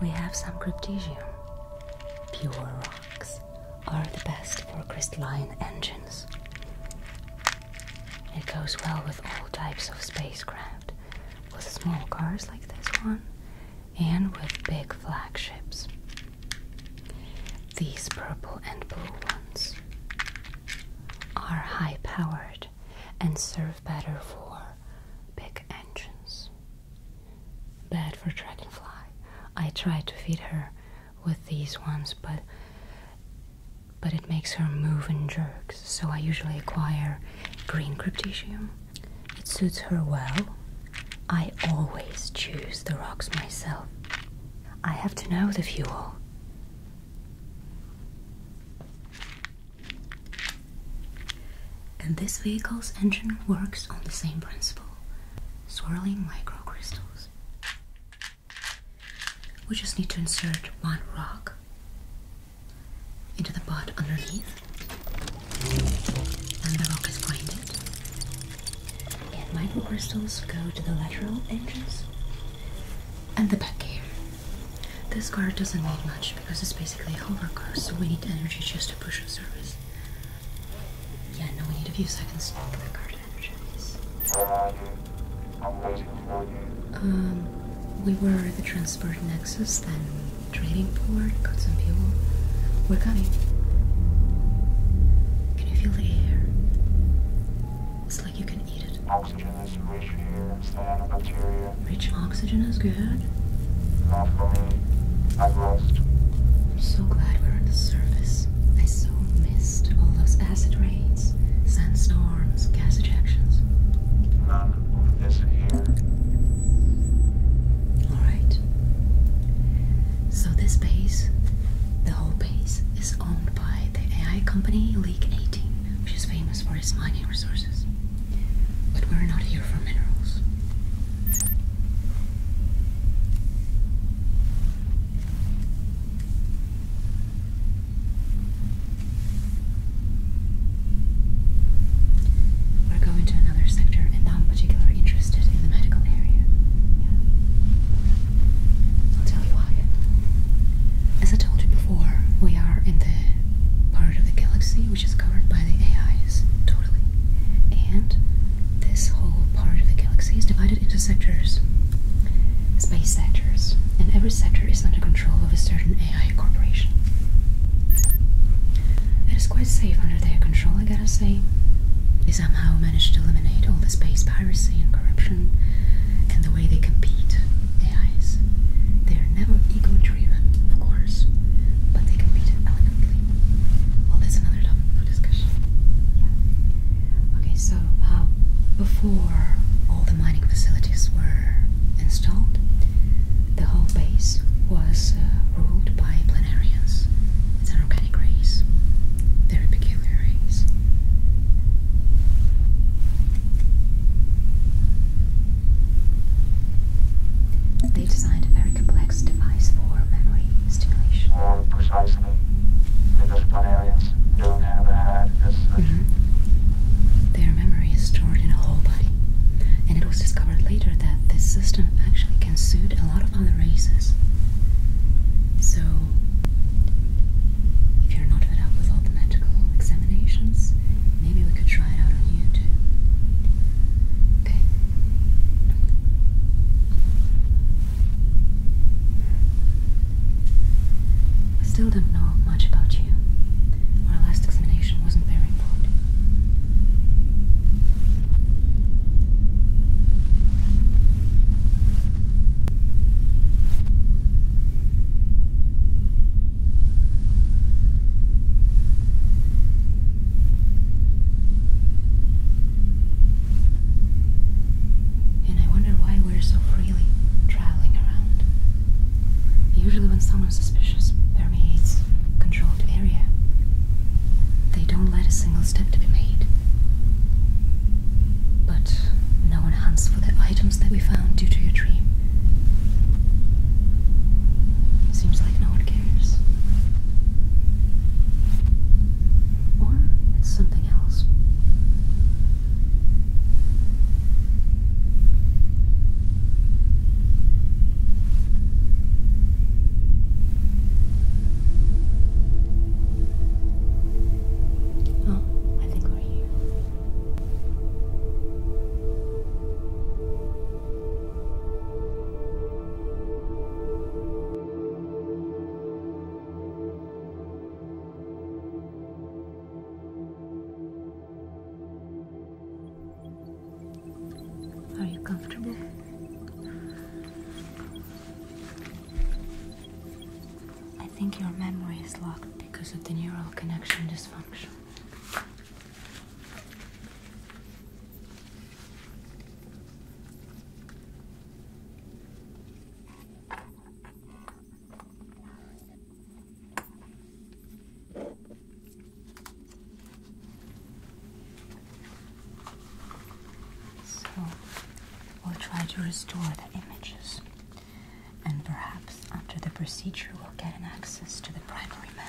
we have some cryptesium. Pure rocks are the best for crystalline engines. It goes well with all types of spacecraft, with small cars like this one, and with big flagships. These purple and blue ones are high powered and serve better for big engines. Bad for Dragonfly. I try to feed her with these ones, but but it makes her move in jerks, so I usually acquire green cryptetium. It suits her well I always choose the rocks myself. I have to know the fuel. And this vehicle's engine works on the same principle, swirling microcrystals. We just need to insert one rock into the pot underneath, and the rock is grinded. Microcrystals go to the lateral engines and the back here. This card doesn't need much because it's basically a hover car, so we need energy just to push the surface. Yeah, no, we need a few seconds for the card to energize. Where are you? I'm waiting Um, we were at the transport nexus, then trading port, got some fuel. We're coming. Can you feel the air? It's like you can eat it. Oxygen rich oxygen is good? Not for me. I'm lost. I'm so glad we're on the surface. I so missed all those acid rains, sandstorms, gas ejections. Alright. So this base, the whole base, is owned by the AI company League 18, which is famous for its mining resources. But we're not here for minerals. We're going to another sector, and i particularly interested in the medical area. I'll tell you why. As I told you before, we are in the part of the galaxy which is covered by the AIs, totally. And this whole part of the galaxy is divided into sectors space sectors, and every sector is under control of a certain AI corporation. It is quite safe under their control, I gotta say. They somehow manage to eliminate all the space piracy and corruption, and the way they compete, AIs. They're never ego driven, of course, but they compete elegantly. Well, that's another topic for discussion. Yeah. Okay, so uh, before all the mining facilities were installed, the whole base was uh, ruled by planarians. It's an organization Hispanic race. They're peculiar race. They designed a very complex device for memory stimulation. More um, precisely. they disciplinarians don't have a mm-hmm. Their memory is stored in a whole body, and it was discovered later that this system actually can suit a lot of other races. So, if you're not fed up with all the medical examinations, maybe we could try it out on YouTube. Okay. I still don't know much about you. Our last examination wasn't very and I wonder why we're so freely traveling around. Usually, when someone's suspicious, permeates a controlled area. They don't let a single step to be made. But no one hunts for the items that we found due to your dream. Seems like no one cares. Or it's something else. Oh, I think we're here. Are you comfortable? I think your memory is locked because of the neural connection dysfunction. So we'll try to restore the images, and perhaps after the procedure, we'll get an access to the primary memory.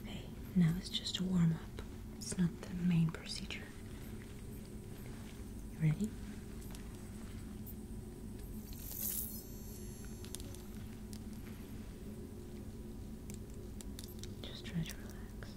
Okay, now it's just a warm up. It's not the main procedure. You ready? Just try to relax.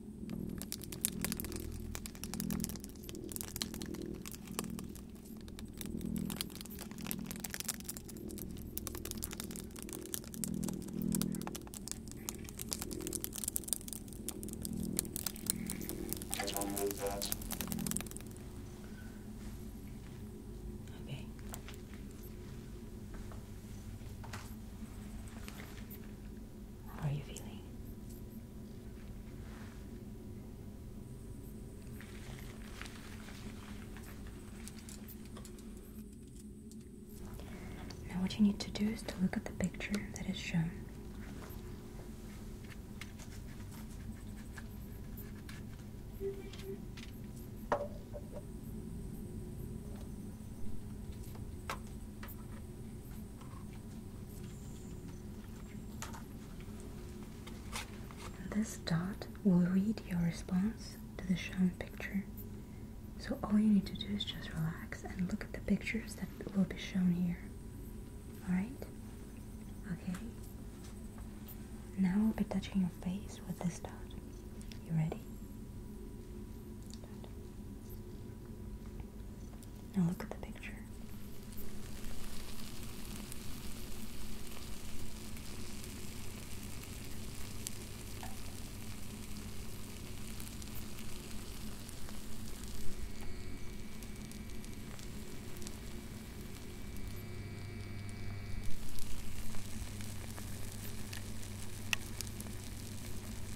I don't need that. Okay. How are you feeling? Now, what you need to do is to look at the picture that is shown this dot will read your response to the shown picture. So all you need to do is just relax and look at the pictures that will be shown here. Alright? Okay. Now i will be touching your face with this dot. You ready? Now look at the picture.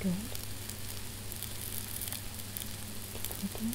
Good. Keep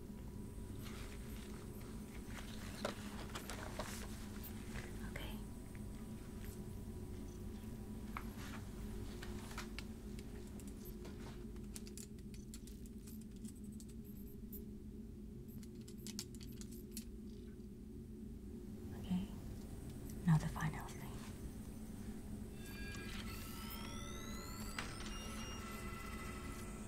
Okay. Okay. Now the final thing.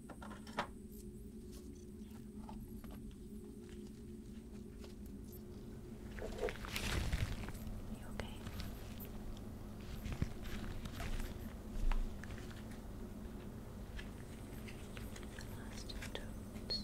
You okay? The last two toads.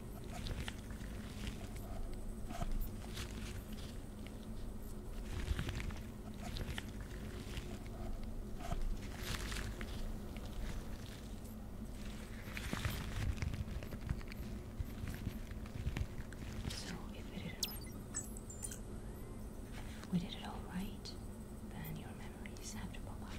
So if we did it we did it all right, then your memories have to pop up.